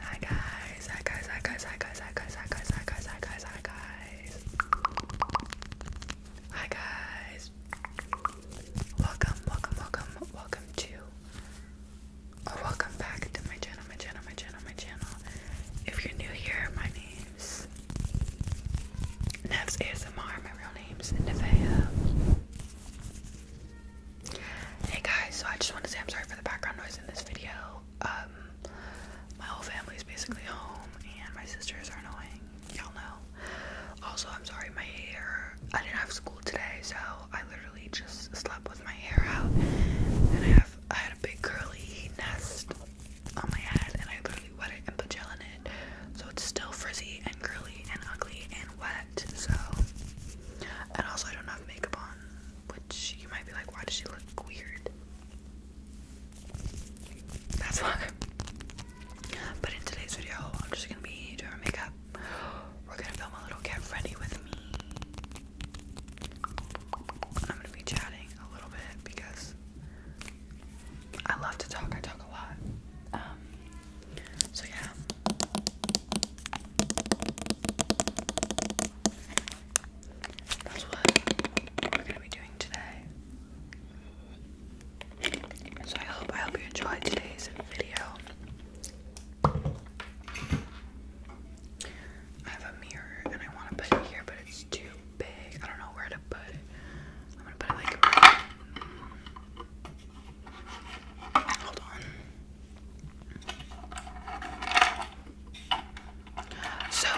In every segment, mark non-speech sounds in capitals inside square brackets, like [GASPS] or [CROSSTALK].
Hi guys, hi guys, hi guys, hi guys, hi guys, hi guys, hi guys, Welcome, welcome, welcome, welcome to or welcome back to my channel, my channel, my channel, my channel. If you're new here, my name's Nevs ASMR, my real name's Nevea. Hey guys, so I just want to say I'm sorry for the background noise in this video. Um, my whole family is basically home, and my sisters are annoying. Y'all know. Also, I'm sorry my hair. I didn't have school today, so I literally just slept with my hair out, and I have I had a big curly nest on my head, and I literally wet it and put gel in so it's still frizzy and curly and ugly and wet. So, and also I don't have makeup on, which you might be like, why does she look weird? That's [LAUGHS] why. But in today's video, I'm just gonna be doing makeup. We're gonna film a little get ready with me. I'm gonna be chatting a little bit because I love to talk. I talk a lot. Um, so yeah. That's what we're gonna be doing today. So I hope I hope you enjoyed today's video. I have a mirror and I wanna put it here but it's too big. I don't know where to put it. I'm gonna put it like Hold on. So,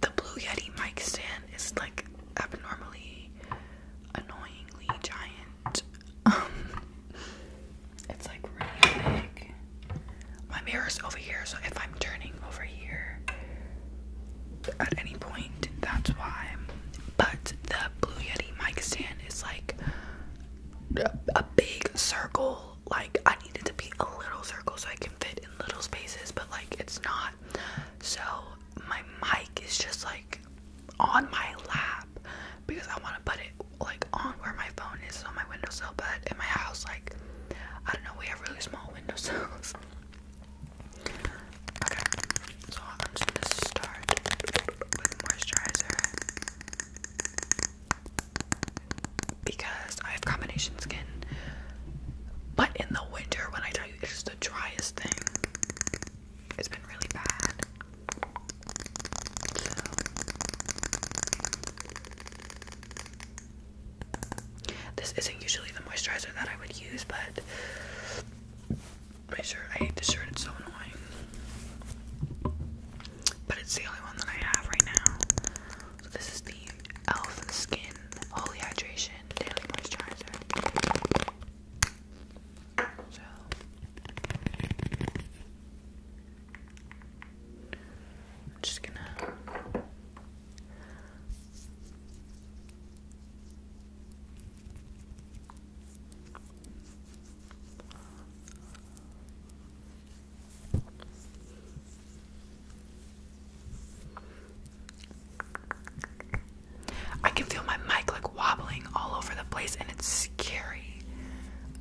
the Blue Yeti mic stand is like abnormally, annoyingly giant. Um, it's like really big. My mirror is over here, so if I'm turning over here, at any point. That's why. But the Blue Yeti mic stand is like a big circle. Like I need it to be a little circle so I can fit in little spaces, but like it's not. So my mic is just like on my lap because I want to put it like on where my phone is on my windowsill. But in my house, like I don't know, we have really small [LAUGHS] windowsills so I'm just gonna start with moisturizer because I have combination skin. But in the winter, when I tell you it's the driest thing, it's been really bad. This isn't usually the moisturizer that I would use, but my shirt, I hate this shirt, it's so annoying. But it's the only one that I have right now. So this is the e.l.f. Skin Holy Hydration Daily Moisturizer. So I'm just gonna I can feel my mic like wobbling all over the place and it's scary.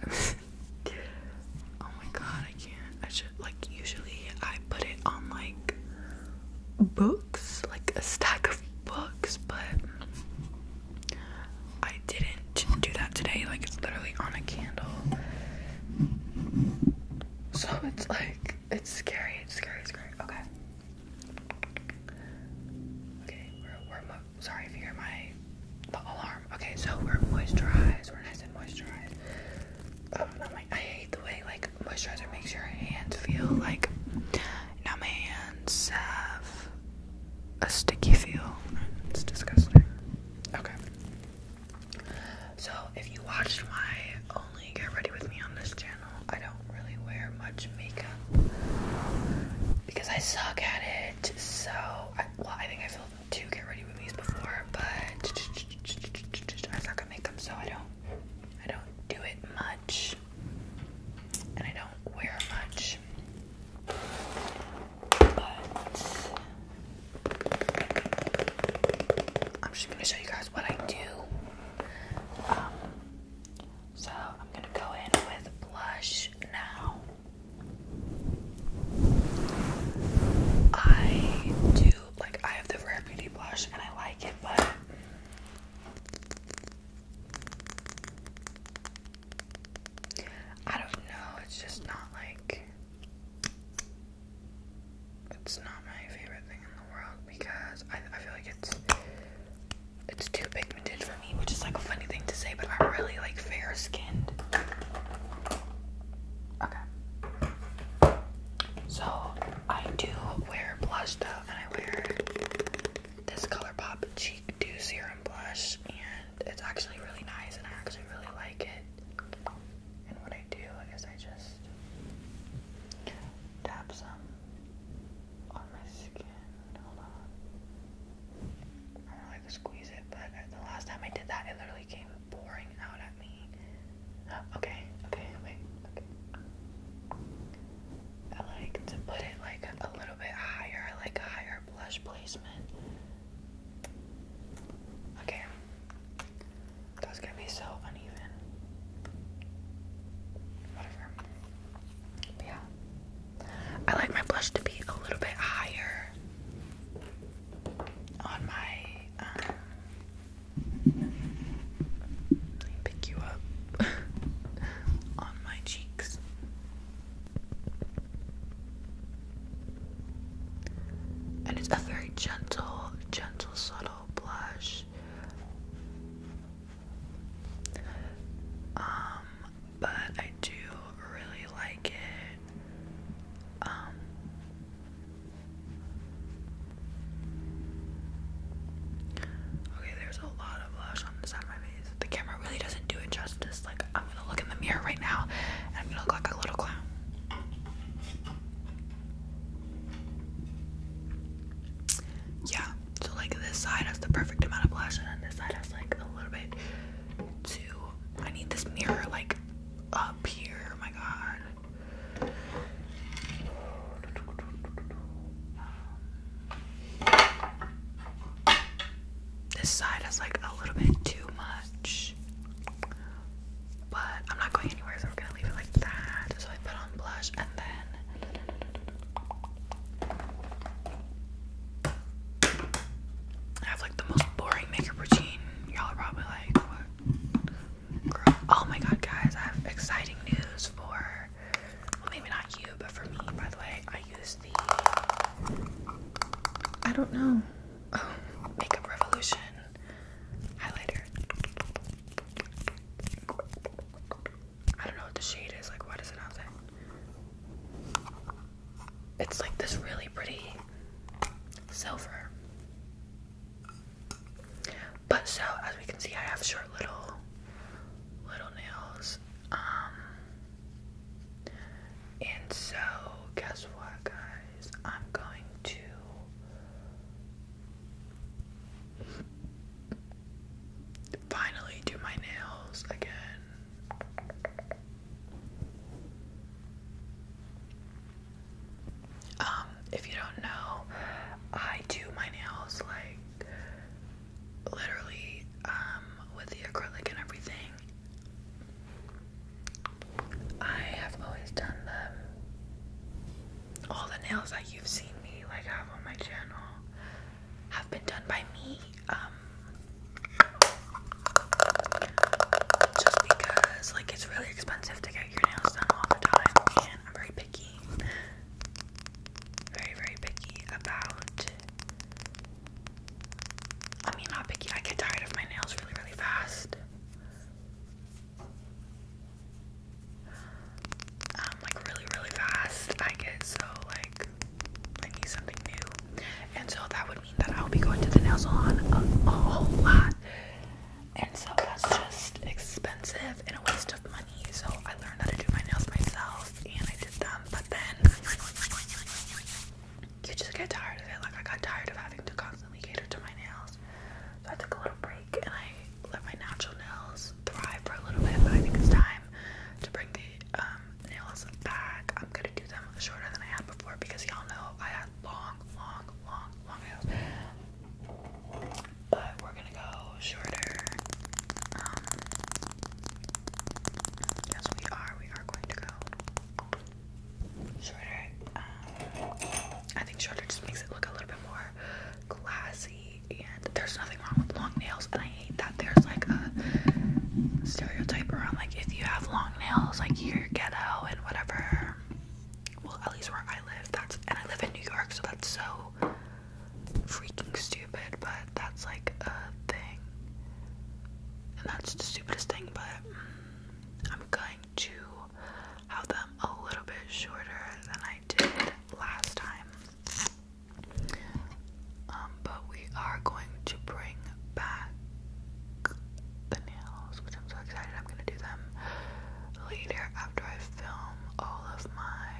[LAUGHS] oh my god. I can't. I should like usually I put it on like books, like a stack of books, but I didn't do that today. Like it's literally on a candle. So it's like it's scary, it's scary, it's scary. Okay. Okay, we're sorry if you hear my alarm. Okay, so we're moisturized, we're nice and moisturized. Um, i I hate the way like moisturizer makes your hands feel like now my hands have a sticky feel. It's disgusting. Okay. So if you watched my only get ready with me on this channel, I don't really wear much makeup because I suck at it. So well, I think I feel to get ready with these before, but I suck at makeup, so I don't, I don't do it much, and I don't wear much. But I'm just gonna show you guys what I do. Um, so I'm gonna go in with blush now. I do like I have the Rare Beauty blush and I like it, but I don't know. It's just not like it's not my favorite thing in the world because I, I feel like it's it's too pigmented for me, which is like a funny thing to say, but I'm really like fair skinned. Okay. So I do wear blush though, and I wear this Color Pop Cheek Dew Serum Blush, and it's actually really nice, and I actually really like it. And what I do is I just tap some on my skin. Hold on. I squeeze it, but uh, the last time I did that, it literally came pouring out at me. [GASPS] Okay, okay, okay. I like to put it like a little bit higher, like higher blush placement. Okay, that's gonna be so uneven. Whatever. yeah, I like my blush to be a little bit higher on my um, pick you up [LAUGHS] on my cheeks. And it's a very gentle, gentle, subtle blush. Um, but I do really like it. Um, okay, there's a lot of blush on the side of my face. The camera really doesn't do it justice. Like, I'm gonna look in the mirror right now and look like a little clown. Yeah, so like this side has the perfect amount of blush, and this side has like a little bit to I need this mirror like up here. my god. this side is like a little bit too much. But I'm not going anywhere, so we're gonna leave it like that. So I put on blush and then I have like the most boring makeup routine. Y'all are probably like, what? Oh my god, guys, I have exciting news for. Well, maybe not you, but for me, by the way, I use the. I don't know. Oh, makeup Revolution highlighter. I don't know what the shade is. Like, why it not say? It's like this really pretty silver. But so as we can see I have short little little nails. Um, and so guess what guys? I'm going to [LAUGHS] finally do my nails again. Um, if you don't know, I do my nails like literally um with the acrylic and everything. I have always done them. All the nails that you've seen me like have on my channel have been done by me um, just because like it's really expensive to get your nails done all the time and I'm very picky very very picky about I mean not picky I get tired of my nails really really fast um, like really, really fast. I get so like I need something new. And so that would mean that I'll be going to the nail salon a, whole lot. And so that's just expensive and a waste of money. So I learned how to do my nails myself and I did them. But then you just get tired of it. Like I got tired of having to constantly cater to my nails. So I took a little break and I let my natural nails thrive for a little bit. But I think it's time to bring the um, nails back. I'm gonna do them shorter than I had before because y'all know I had long, long, long, long nails. But we're gonna go shorter. Um, yes, we are. We are going to go shorter. Um, I think shorter just makes it look a little bit more classy and there's nothing wrong with long nails and I hate that there's like a stereotype around like if you have long nails like you're ghetto and whatever well at least where I live that's and I live in New York so that's so freaking stupid but that's like a thing and that's the stupidest thing but I'm going to have them a little bit shorter than I did last time um, but we are going to bring back the nails, which I'm so excited. I'm gonna do them later after I film all of my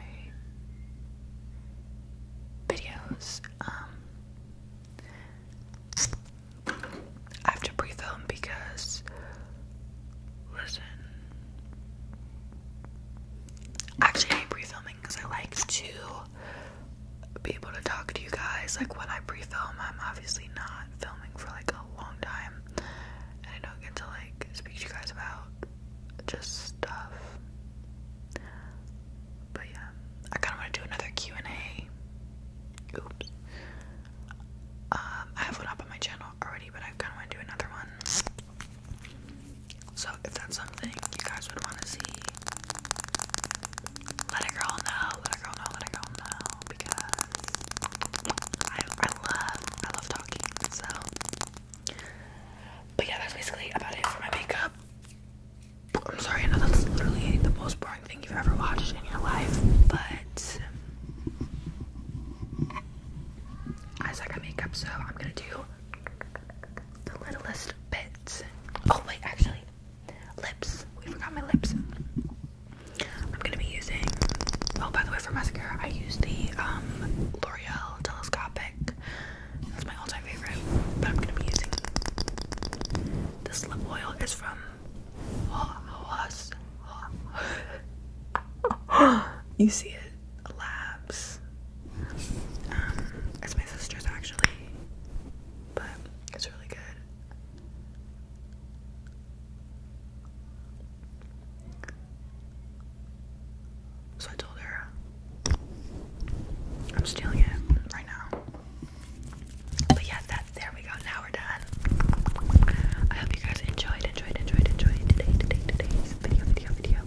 videos. Um, I have to pre-film because, listen, Actually, I hate pre-filming because I like to be able to talk to you guys. Like when I pre-film, I'm obviously not filming for like a long time, and I don't get to like speak to you guys about just stuff. But yeah, I kind of want to do another Q and A. Oops. Um, I have one up on my channel already, but I kind of want to do another one. So if that's something you guys would want to see, let a girl know, let a girl know, let a girl know, because I, I love, I love talking, so. But yeah, that's basically about it for my makeup. I'm sorry, I know that's literally the most boring thing you've ever watched in your life, but I suck at makeup, so I'm gonna do the littlest bits. Oh wait, actually, lips. We forgot my lips. I'm gonna be using. Oh, by the way, for mascara, I use the um, L'Oreal Telescopic. That's my all-time favorite. But I'm gonna be using this lip oil. is from Wawas you see it, labs. Um, it's my sister's actually, but it's really good. So I told her I'm stealing it right now. But yeah, that there we go. Now we're done fun. I hope you guys enjoyed, enjoyed, enjoyed, enjoyed today, today, today's video, video, video.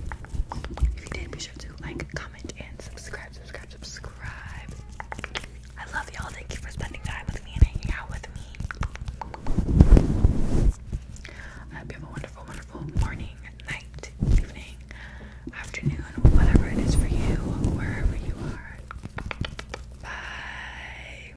If you did, be sure to like, comment, and subscribe, subscribe, subscribe. I love y'all. Thank you for spending time with me and hanging out with me. I hope you have a wonderful, wonderful morning, night, evening, afternoon, whatever it is for you, wherever you are. Bye.